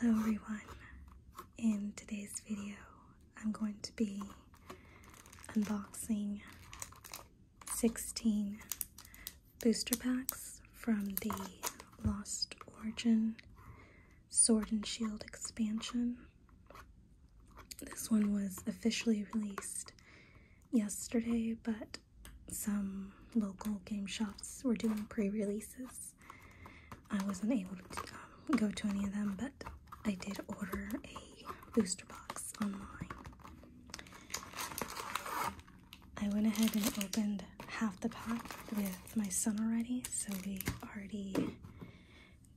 Hello everyone. In today's video, I'm going to be unboxing 16 booster packs from the Lost Origin Sword and Shield expansion. This one was officially released yesterday, but some local game shops were doing pre-releases. I wasn't able to um, go to any of them, but I did order a booster box online. I went ahead and opened half the pack with my son already, so we already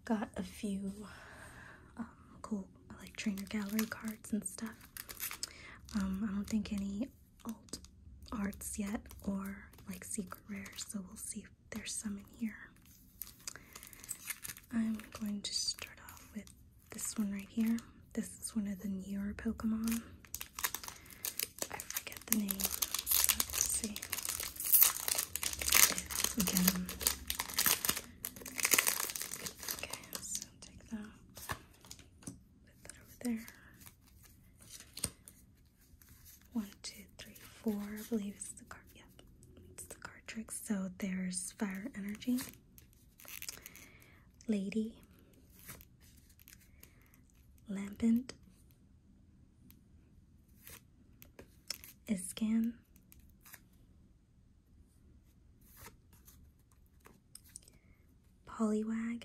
got a few um, cool like trainer gallery cards and stuff. Um, I don't think any alt arts yet or like secret rares, so we'll see if there's some in here. I'm going to start off with this one right here. This is one of the newer Pokemon. I forget the name, let's see if Okay, take that. Put that over there. One, two, three, four. I believe it's the card. Yeah, it's the card trick. So there's fire energy, lady, lampant, iscan, Polywag,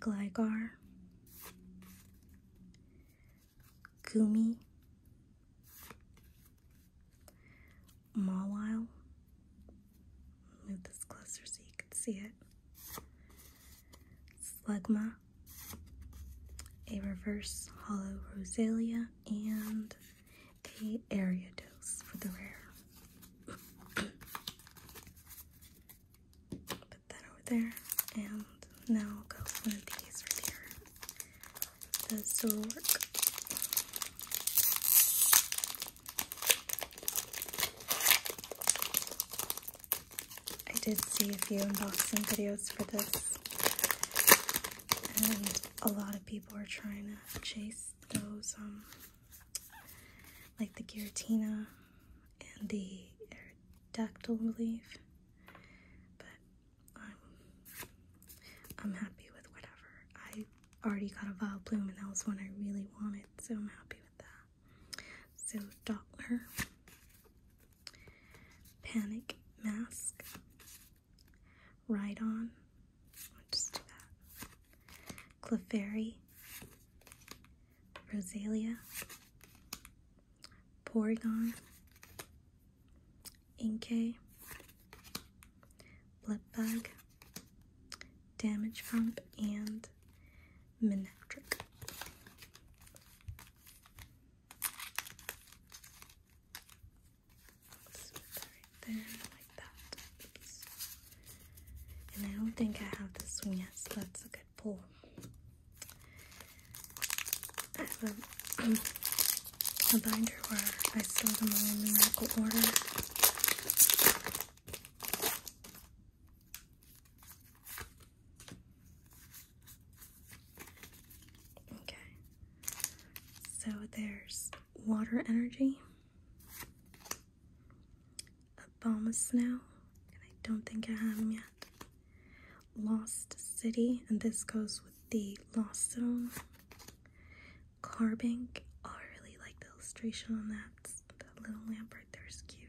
Gligar, Gumi, Mawile. Move this closer so you can see it. Slugma, a reverse hollow Rosalia, and the area dose for the rare. Put that over there, and now go one of these right here. Those still work. I did see a few unboxing videos for this, and a lot of people are trying to chase those um like the giratina and the Dactyl relief, but I'm, I'm happy with whatever. I already got a violet Bloom and that was one I really wanted, so I'm happy with that. So Dollar, Panic Mask, Ride on. I'll just do that. Clefairy. Rosalia. Porygon. Inkay. Blipbug. Damage Pump and Manectric. And I don't think I have this one yet, so that's a good pull. I have a binder where I store them all in numerical order. Okay, so there's water energy. Obama's now, and I don't think I have them yet. Lost City, and this goes with the Lost Zone. Carbank, oh, I really like the illustration on that. That little lamp right there is cute.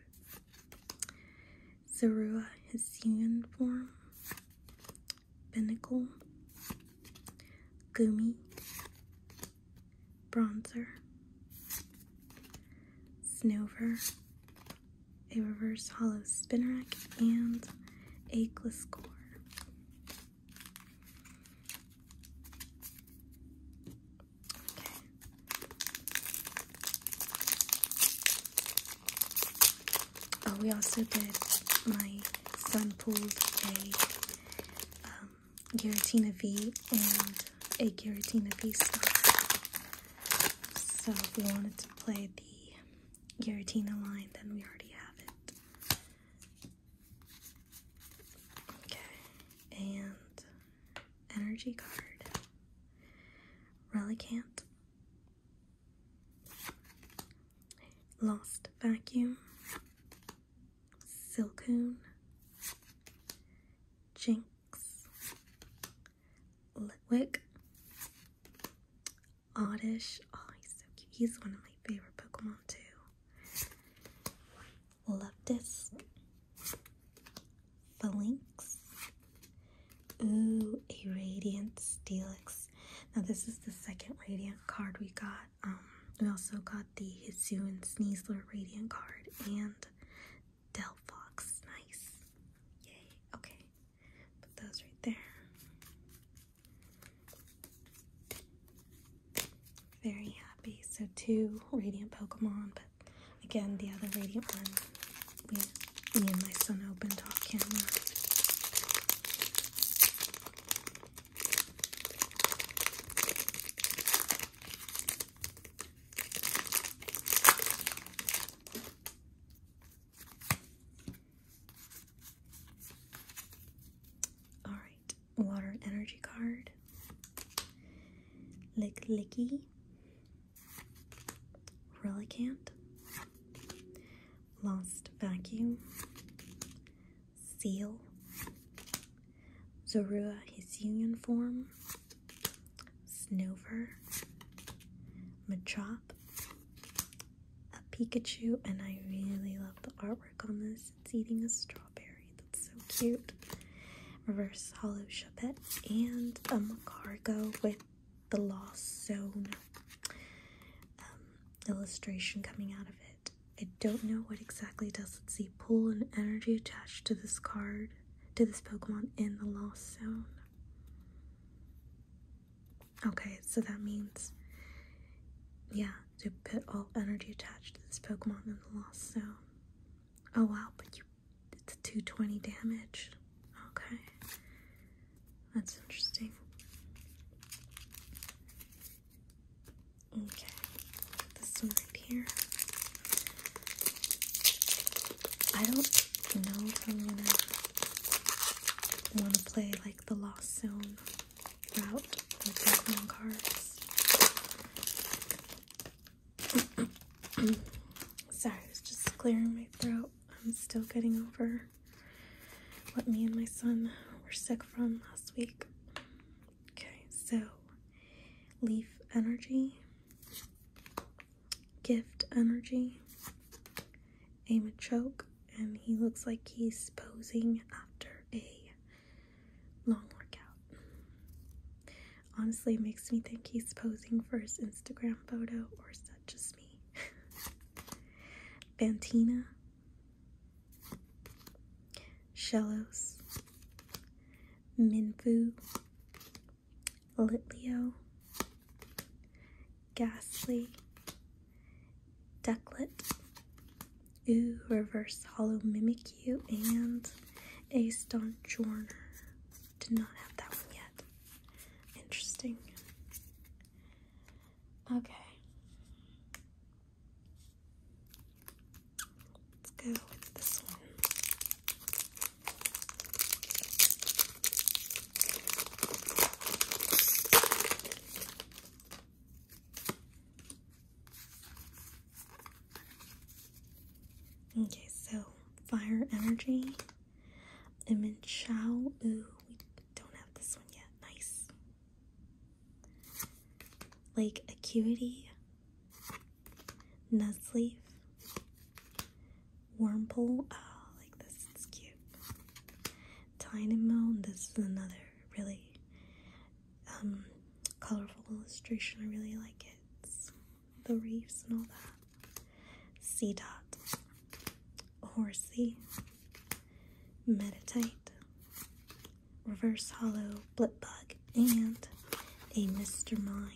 Zerua, his uniform. Pinnacle. Gumi bronzer, snowver, a reverse hollow spinnerack, and a gliscor. Okay. Oh, we also did, my sun pool a um, Giratina V and a Giratina V slot. So if we wanted to play the Giratina line, then we already have it. Okay, and energy card. Relicant. Lost Vacuum. Silcoon, Jinx, Litwick, Oddish. Oh, he's so cute. He's one of my favorite Pokemon too. Leftisk, Phalanx. Ooh, a Radiant Steelix. Now this is the second Radiant card we got. Um, we also got the Hisuian Sneasler Radiant card and Delphox. Nice. Yay. Okay. Put those right there. Very happy. So two Radiant Pokemon, but again, the other Radiant one, me and my son opened off camera. All right, water energy card. Lick Licky, Relicant, Lost Vacuum, seal, Zorua his union form, Snover, Machop, a Pikachu, and I really love the artwork on this. It's eating a strawberry, that's so cute. Reverse Hollow Chapette, and a Macargo with the Lost Zone um, illustration coming out of it. I don't know what exactly does. it see, pull an energy attached to this card, to this Pokemon in the Lost Zone. Okay, so that means, yeah, to put all energy attached to this Pokemon in the Lost Zone. Oh wow, but you, it's 220 damage. Okay, that's interesting. Okay, this one right here. I don't know if I'm gonna want to play like the Lost Zone route with Pokemon cards. Sorry, I was just clearing my throat. I'm still getting over what me and my son were sick from last week. Okay, so leaf energy, gift energy, aim a choke, and he looks like he's posing after a long workout. Honestly, makes me think he's posing for his Instagram photo, or is that just me? Fantina, Shellos, Minfu, Litleo, Ghastly, Ducklet, Ooh, Reverse Hollow Mimikyu, and a Stonjorner. Did not have that one yet. Interesting. Okay. Let's go with this one. Okay, so fire energy. Imin Chao. Ooh, we don't have this one yet. Nice like Acuity, Nutsleaf, Wormhole. Oh, ah, like this is cute. Dynamo. This is another really um, colorful illustration. I really like it. It's the reefs and all that. Sea dot. Horsey. Meditate, Reverse Hollow Blip Bug, and a Mr. Mime.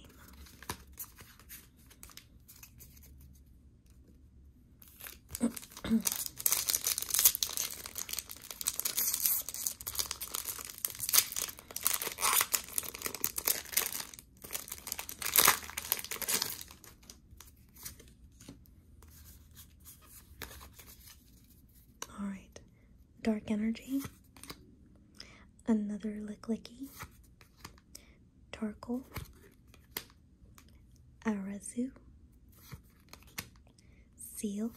All right. Dark energy. Another lick licky. Tarkle. Arazu. Seal.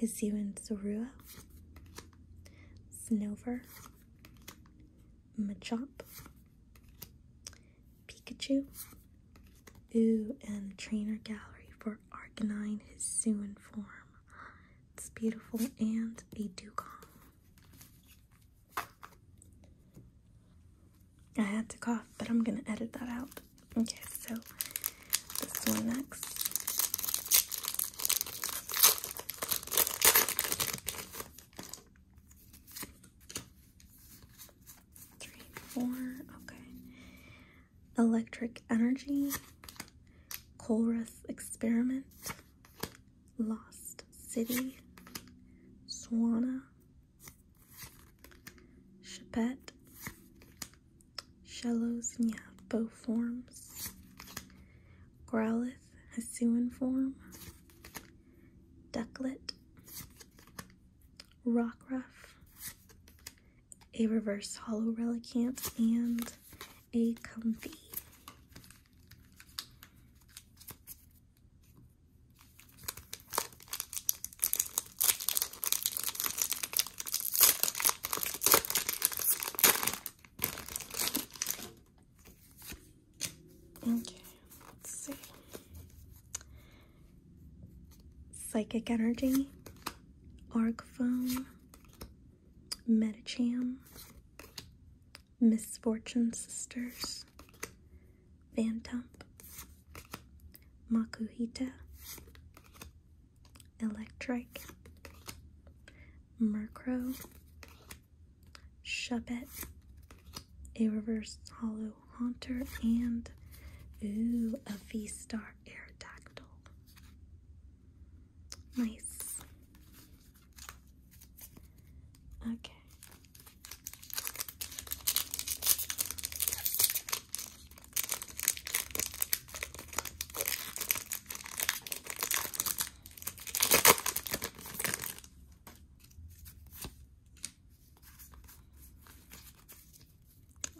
Hisuian Sarua. Snover. Machop. Pikachu. Ooh, and trainer gallery for Arcanine, his Suin form. It's beautiful, and a dugong. I had to cough, but I'm gonna edit that out. Okay, so this one next three, four. Okay. Electric Energy, Colrus Experiment, Lost City, Swana, Chapette, Shallows Nyapbo Forms, Growlithe Hisuian Form, Ducklet, rock ruff, a reverse hollow relicant, and a comfy. Okay, let's see. Psychic Energy, Arc Phone, Metacham, Misfortune Sisters, Phantom, Makuhita, Electric, Murkrow, Shuppet, a reverse hollow Haunter, and ooh, a V-Star Aerodactyl. Nice. Okay.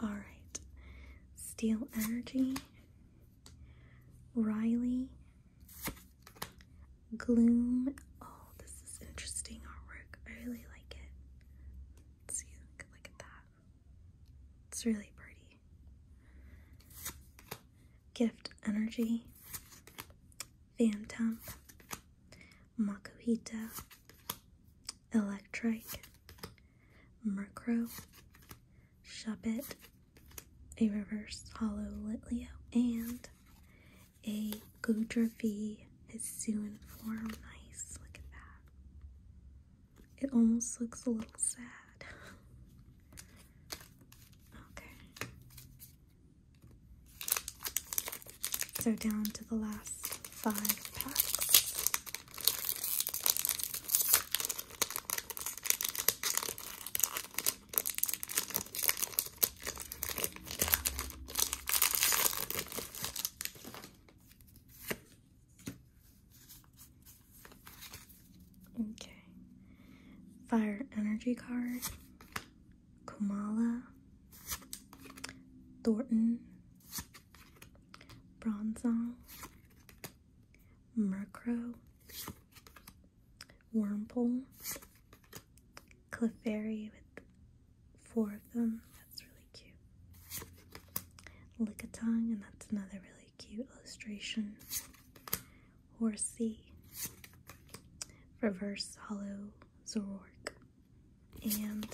All right. Steel Energy, Riley, Gloom. Oh, this is interesting artwork. I really like it. Let's see, look, look at that. It's really pretty. Gift Energy, Phantom, Makuhita, Electric, Murkrow, Shuppet, a reverse hollow Litleo, and a Goudrevi Hisuian form. Nice, look at that. It almost looks a little sad. Okay. So down to the last five packs. Okay. Fire energy card. Kamala. Thornton, Bronzong, Murkrow, Wormpole, Clefairy with four of them. That's really cute. Lickitung, and that's another really cute illustration. Horsey, Reverse Hollow Zorork, and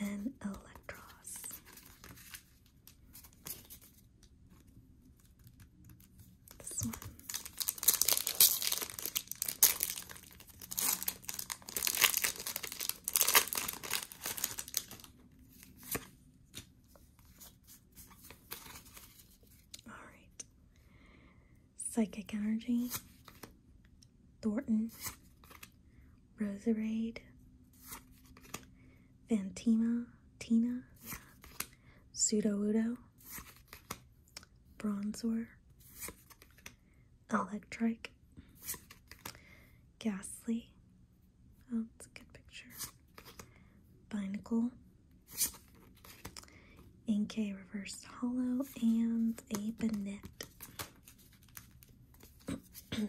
an Electros. This one. All right. Psychic energy, Thornton, Roserade, Fantima, Tina, Pseudoudo, Bronzor, Electric, Ghastly, oh, that's a good picture, Binacle, Inkay Reverse Hollow, and a Banette okay.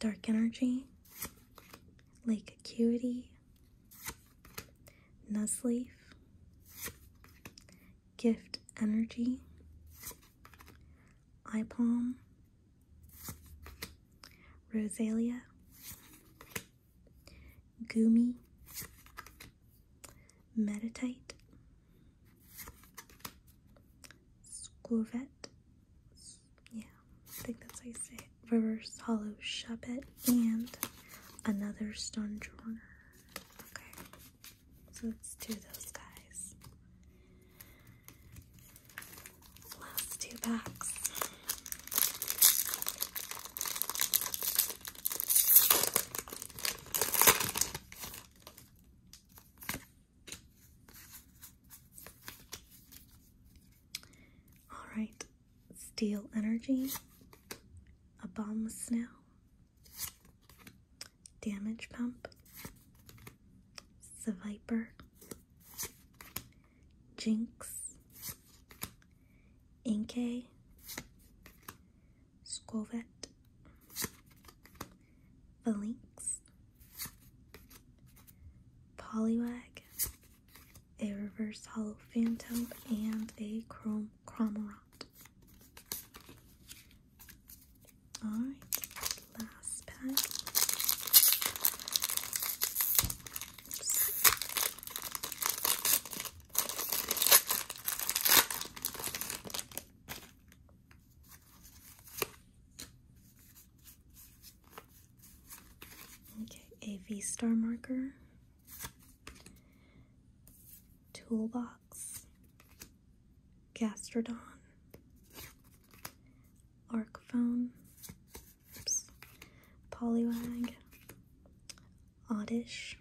Dark energy, lake acuity, Nuzleaf, Gift Energy, Eye Palm, Rosalia, Gumi, Meditite, Squovette, yeah, I think that's how you say Reverse Hollow Shabbat, and another Stunjorner. Okay, so let's do those guys. Last two packs. All right, Steel Energy, Abomas Now, Damage Pump, Viper, Jinx, Inkay, Scovet, Phalanx, Poliwag, a reverse hollow phantom, and a chrome chromorant. Alright, last pack. Okay, a V-star marker, Toolbox, Gastrodon, Arcphone, oops, Poliwag, Oddish,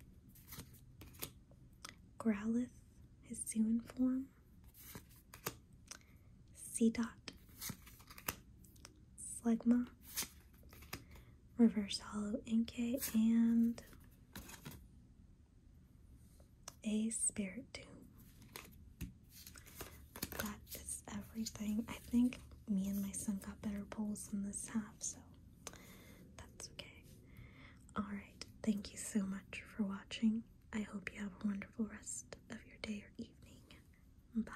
Growlithe, his Zooin form, C dot, Slegma, Reverse Hollow Inkay, and a Spirit Doom. That is everything. I think me and my son got better pulls in this half, so that's okay. Alright, thank you so much for watching. I hope you have a wonderful rest of your day or evening. Bye.